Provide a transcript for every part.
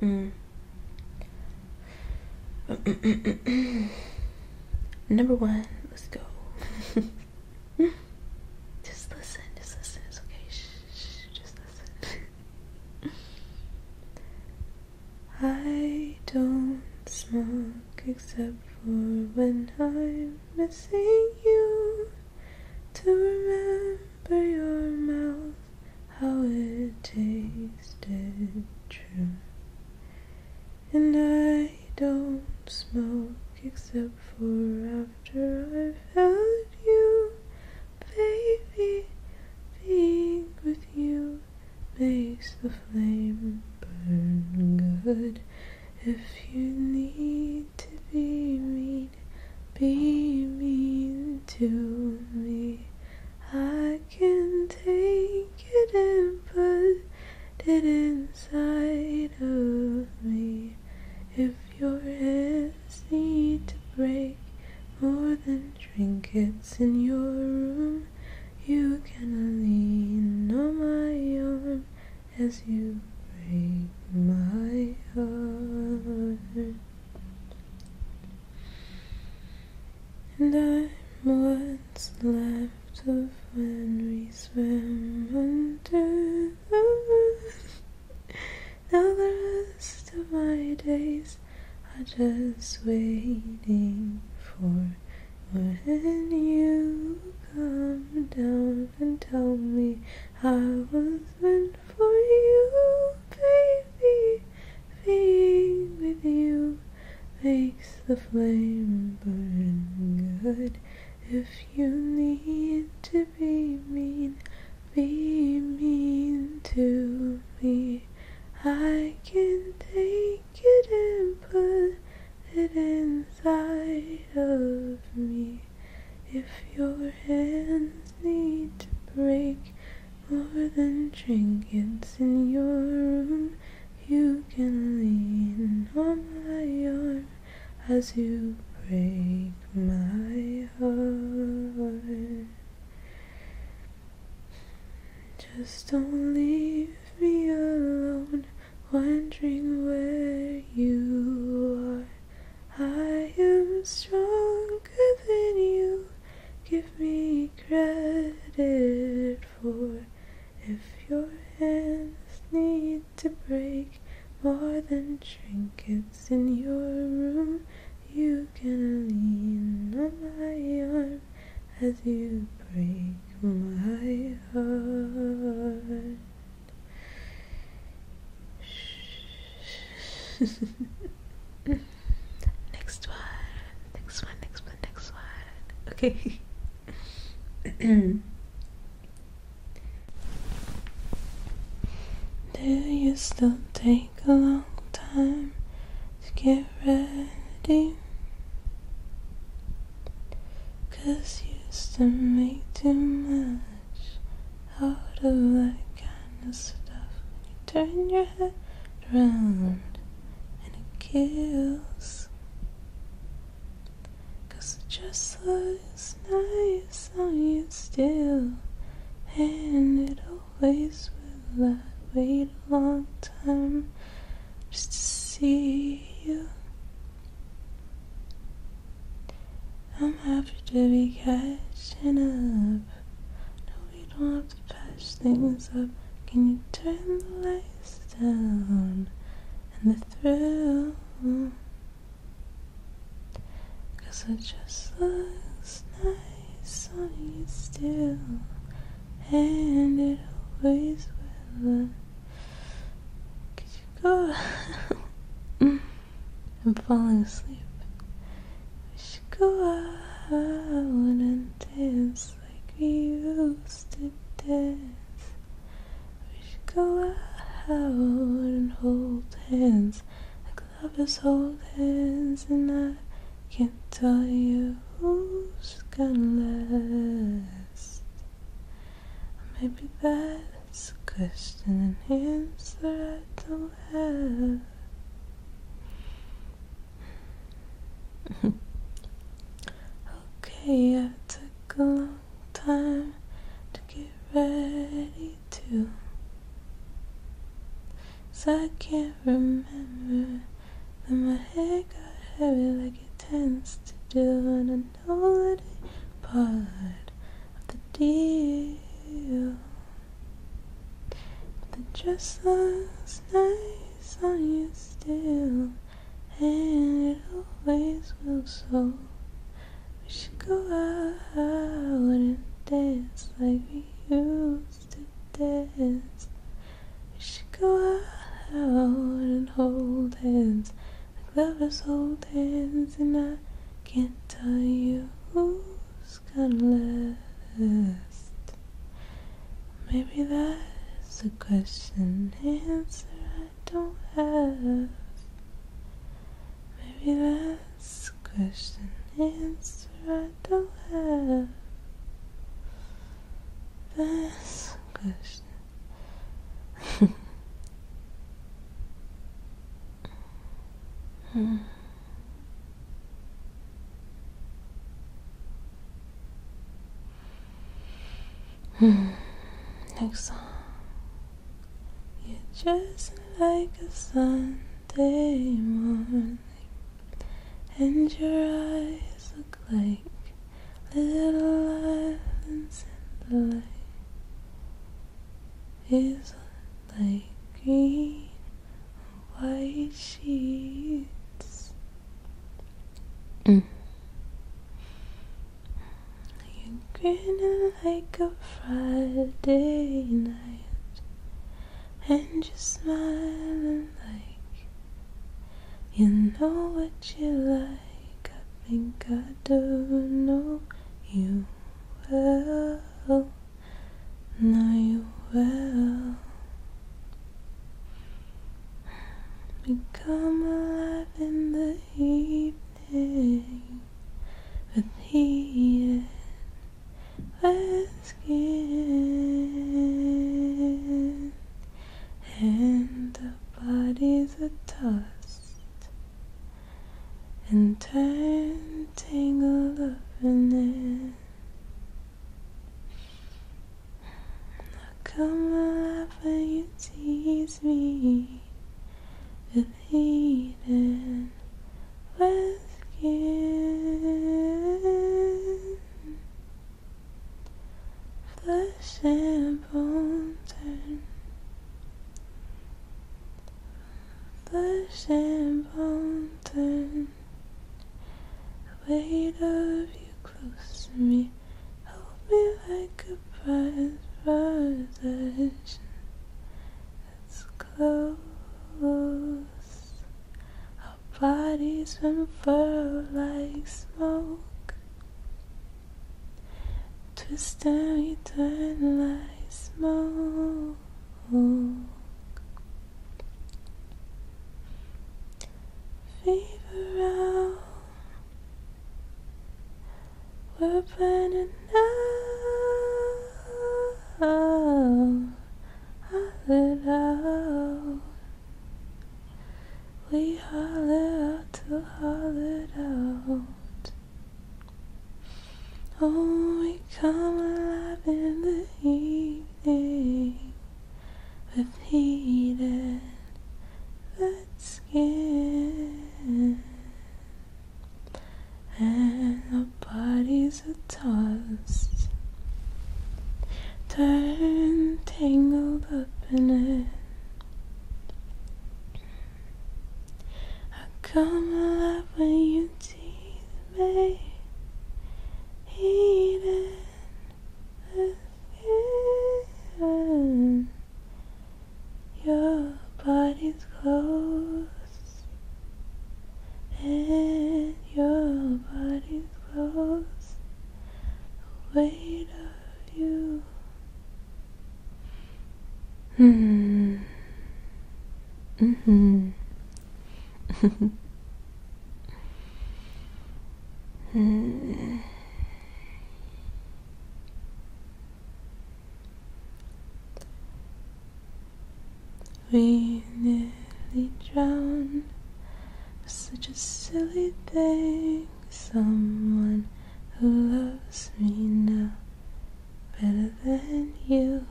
Mm. Number one, let's go. just listen, just listen. okay. shh, just listen. I don't smoke except for when I'm missing you to remember by your mouth how it tasted true. And I don't smoke except for after I've had you, baby. Being with you makes the flame burn good if you need to be mean, be mean to me. I can take it and put it inside of me. If your heads need to break more than trinkets in your room, you can lean on my arm as you break my heart. And I'm what's left of when we swim under the earth. Now the rest of my days are just waiting for when you come down and tell me I was meant for you, baby. Being with you makes the flame burn good. If you need to be mean, be mean to me. I can take it and put it inside of me. If your hands need to break more than trinkets in your room, you can lean on my arm as you break my heart. Just don't leave me alone, wondering where you are. I am stronger than you. Give me credit for if your hands need to break more than trinkets in your room. You can lean on my arm as you break my heart. next one, next one, next one, next one. Okay. Do you still take a long time to get ready? Cause you still make too much out of that kind of stuff. You turn your head around and it kills. Cause it just looks nice on you still. And it always will. I wait a long time just to see you. I'm happy to be catching up. No, we don't have to patch things up. Can you turn the lights down and the thrill? Cause it just looks nice sunny still, and it always will. Could I'm falling asleep. We should go out and dance like we used to dance. We should go out and hold hands like lovers hold hands, and I can't tell you who's gonna last. Maybe that it's a question and answer I don't have. okay, I took a long time to get ready to. So I can't remember that my head got heavy like it tends to do, and I know that it part of the deal. But the dress looks nice on you still, and it always will so. We should go out and dance like we used to dance. We should go out and hold hands like lovers hold hands, and I can't tell you who's gonna last. Maybe that's a question answer I don't have. Maybe that's a question answer I don't have. That's a question. Hmm. Hmm. Next song. You're just like a Sunday morning, and your eyes look like little islands in the lake is like green white sheets. you grinning like a Friday night, and you're smiling like you know what you like. I think I do know you will. you will become alive in the evening with heat skin and the bodies are tossed and turn tangle up in it. I come alive when you tease me with heat and wet skin, flesh and bone turn. Push and pull, turn. The weight of you close to me. Hold me like a prized possession. It's close. Our bodies unfurl like smoke. Twister eternalized smoke Fever out We're burning out Holler out We holler out to holler out Oh, we come alive in the evening, with repeated that skin, and the bodies are tossed, turned tangled up in it. I come alive when you tease me, eating the Your body's close, and your body's close. The weight of you. Hmm. Mm-hmm. We nearly drowned. Such a silly thing. Someone who loves me now better than you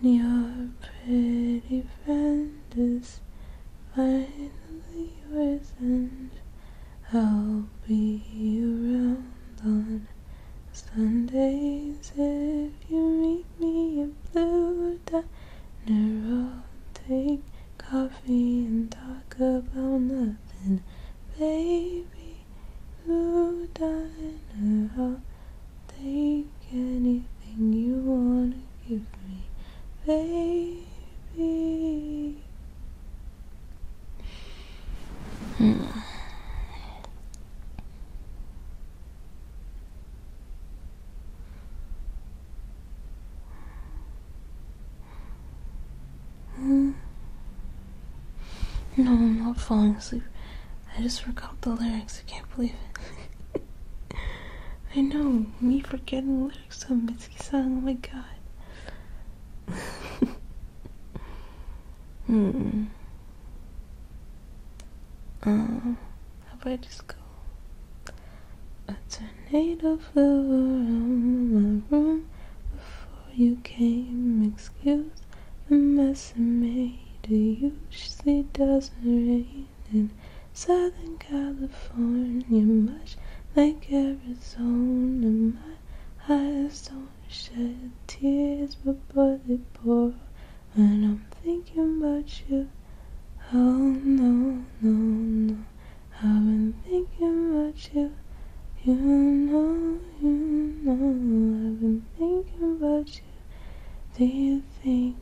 and your pretty friend is finally yours and I'll be around on Sundays if you meet me in Blue Diner I'll take coffee and talk about nothing baby Ooh, darling, I'll take anything you wanna give me, baby. Hmm. Hmm. No, I'm not falling asleep. I just forgot the lyrics. I can't believe it. I know, me forgetting lyrics to a Mitsuki song. Oh my god. hmm. Um, how about I just go? A tornado flew around my room before you came, excuse the mess I made. It usually doesn't rain in Southern California, much like Arizona. My eyes don't shed tears, but but they pour when I'm thinking about you. Oh no, no, no, I've been thinking about you, you know in all I've been thinking about you. Do you think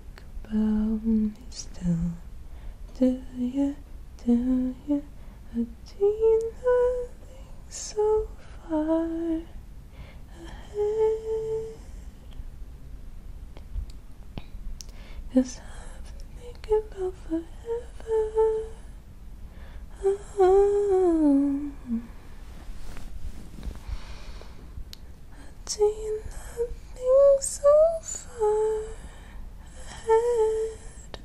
about me still? Do you, do you? I do nothing so far ahead. i I've been thinking about forever. Oh, do you not think so far ahead?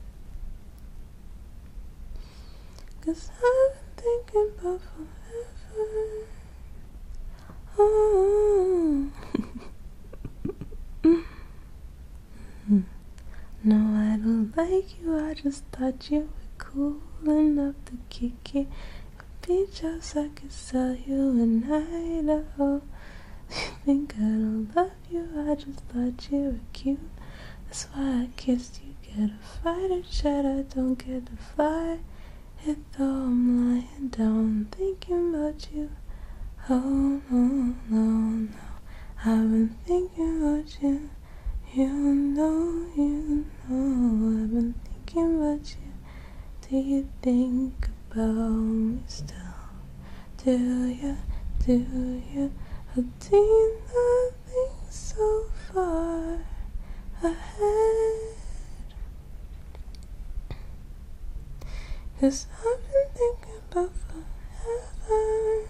i I've been thinking forever. Oh. No, I don't like you, I just thought you were cool enough to kick it. A beach house I could sell you in Idaho. You think I don't love you, I just thought you were cute. That's why I kissed you, get a fighter jet. I don't get to fly. And though I'm lying down thinking about you. Oh no, no, no, I've been thinking about you. You know, you know, I've been thinking about you. Do you think about me still? Do you, do you? I have did nothing so far ahead. Cause I've been thinking about forever.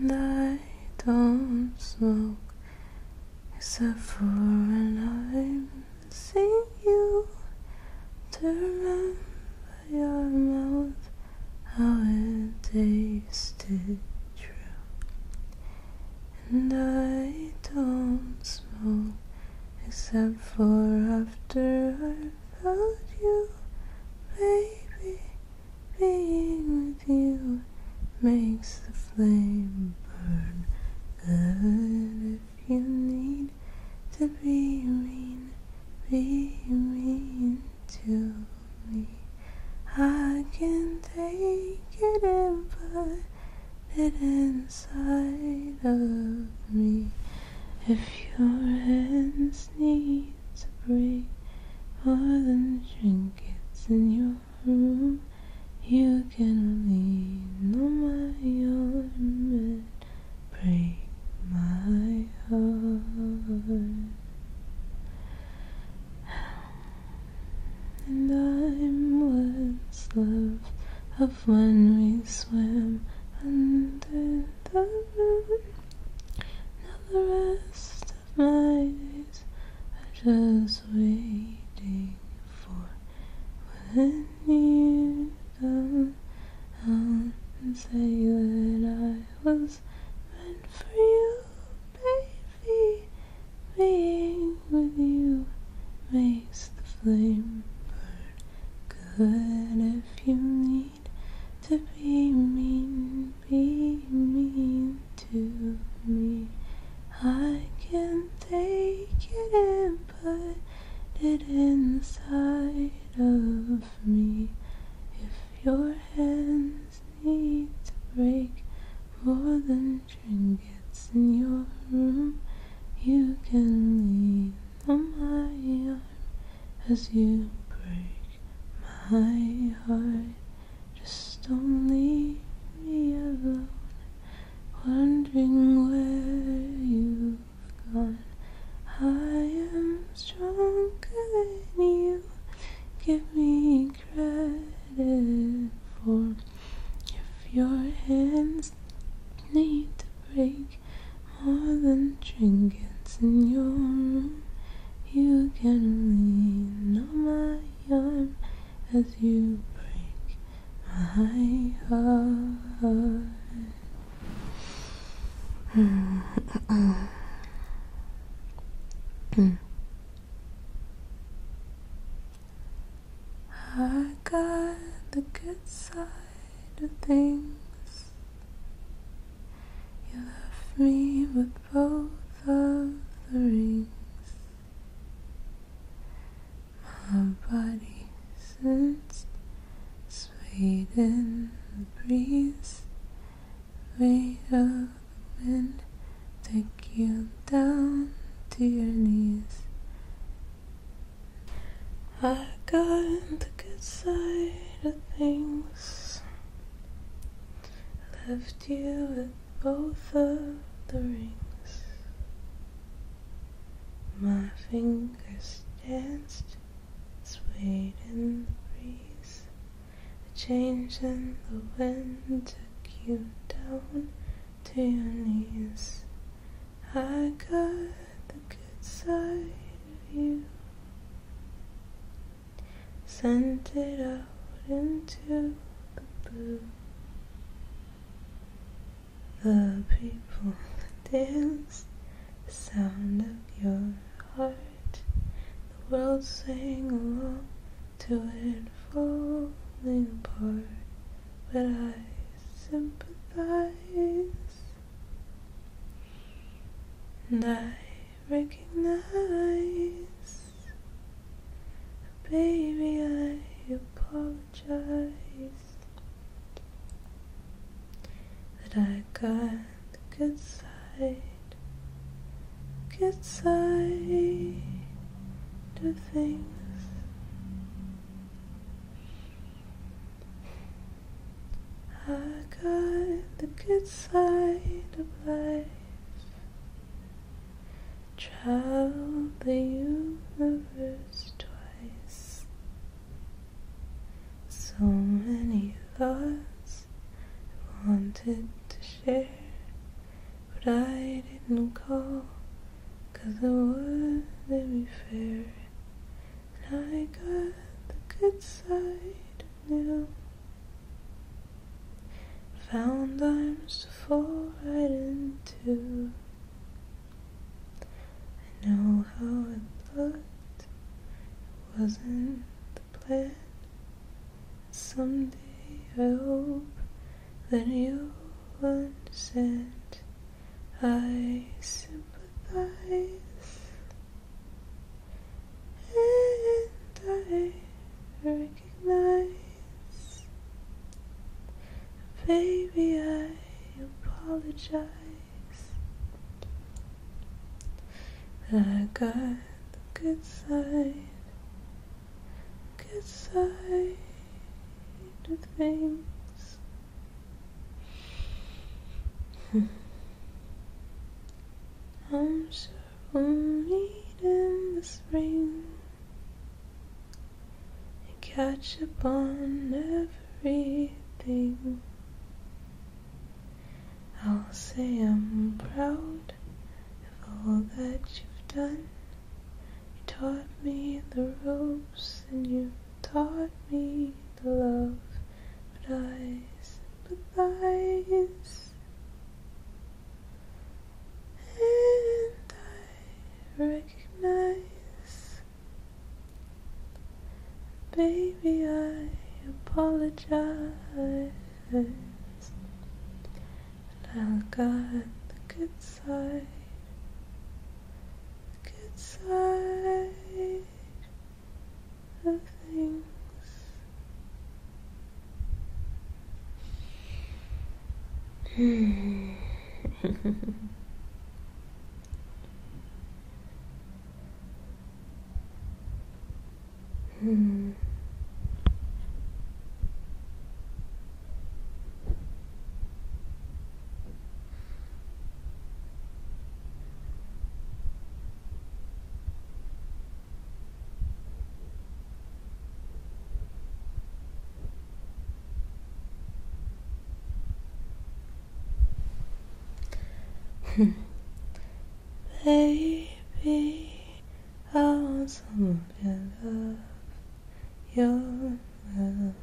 And I don't smoke except for when I see you to remember your mouth how it tasted true. And I don't smoke except for after i hold you, baby. Being with you makes the flame burn. Good if you need to be mean, be mean to me. I can take it in, but it inside of me. If your hands Need to break. all the trinkets in your room, you can lean on my arm and break my heart. And I'm what's left of when we swim under the now the rest of my days are just waiting for when you come out and say that I was meant for you, baby. Being with you makes the flame burn good if you need to be mean, be mean to me. I can take it in, put it inside of me. If your hands need to break more than trinkets in your room, you can lean on my arm as you break my heart. Just don't leave me alone, wondering where you've gone. I am stronger than you. Give me credit for if your hands need to break more than trinkets in your room. You can lean on my arm as you break my heart. Hmm. Hmm. I got the good side of things. You left me with both of the rings. My body sensed sweet in the breeze, weight of the wind take you down to your knees. I got the good side of things. Left you with both of the rings. My fingers danced, swayed in the breeze. The change in the wind took you down to your knees. I got the good side of you. Sent it out into the blue. The people dance, the sound of your heart. The world sang along to it falling apart. But I sympathize. And I recognize, baby, I apologize that I got the get side, good side to things. I got the good side of life. Traveled the universe twice. So many thoughts I wanted to share, but I didn't call, cause it was not fair. I got the good side now. Found arms to fall right into. I know how it looked. It wasn't the plan. Someday I hope that you'll understand. I simply and I recognize baby I apologize I got the good side good side of things I'm sure we'll meet in the spring and catch up on everything. I'll say I'm proud of all that you've done. You taught me the ropes and you taught me the love that I sympathize. And I recognize, baby, I apologize. And I'll guide the good side, the good side of things. hmm. Baby, I want someone to love your love.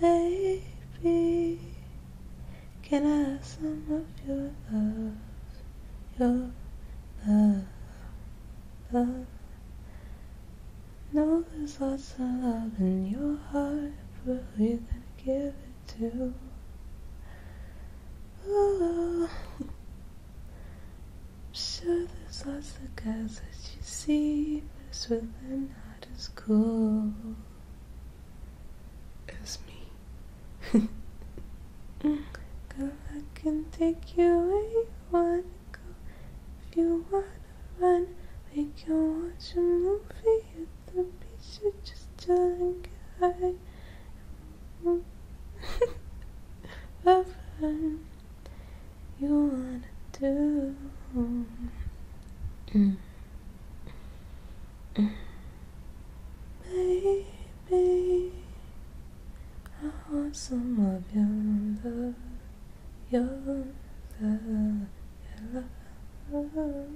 Baby, can I have some of your love? Your love, love. Know there's lots of love in your heart, but who you gonna give it to? Oh, I'm sure there's lots of guys that you see, but it's really not as cool is me. Girl, I can take you where you wanna go. If you wanna run, we can watch a movie at the beach or just chill and get high. Love you wanna do. Mm. Baby, I want some of your love, your love, your love.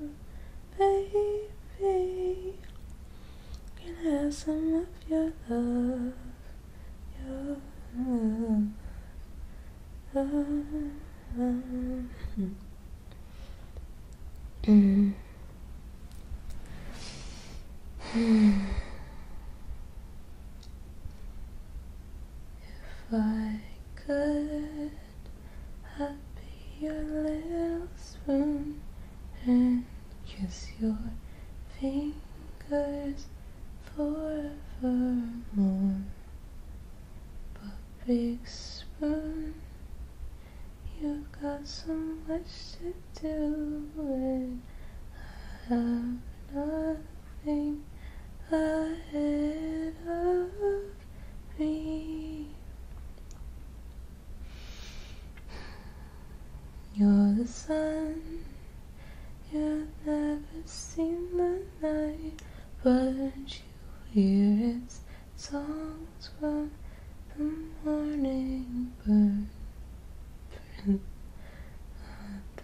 Baby, can have some of your love, your love, if I could, I'd be your little spoon and kiss your fingers forevermore. Big spoon, you've got so much to do, and I have nothing ahead of me. You're the sun, you've never seen the night, but hear its songs from the morning birds. Friend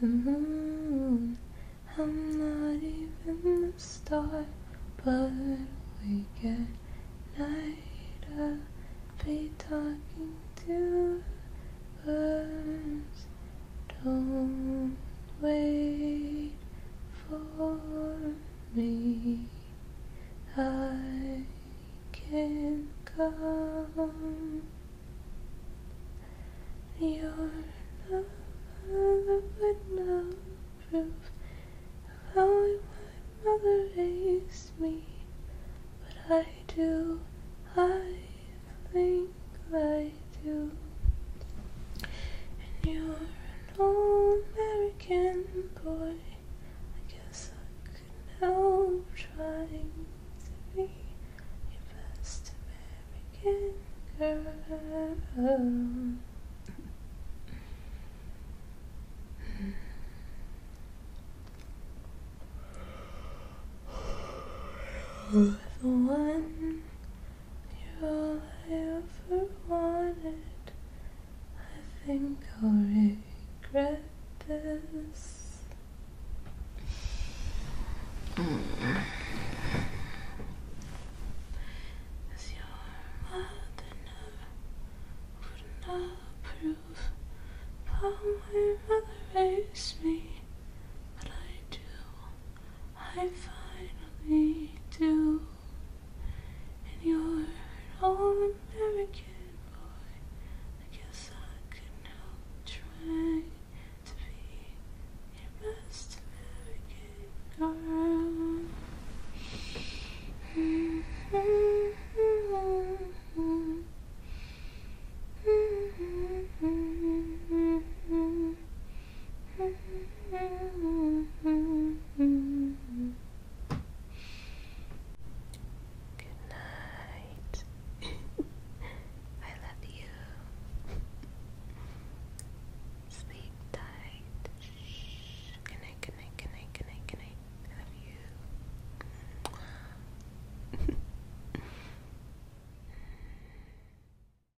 the moon, I'm not even the star, but we at night. I'll be talking to birds. Don't wait for me. I can not come. You're Your love would not prove how my mother raised me, but I do. I think I you. And you're an old American boy. I guess I could help trying to be your best American girl. the one you're all I ever wanted. I think I'll regret this. Cause your mother never would not approve how my mother raised me, but I do. I finally do. And you're an all American boy. I guess I can help try to be your best American girl. Mm -hmm. Mm -hmm. Mm -hmm. Good night. I love you. Sleep tight. Shh. Good night, good night, love you.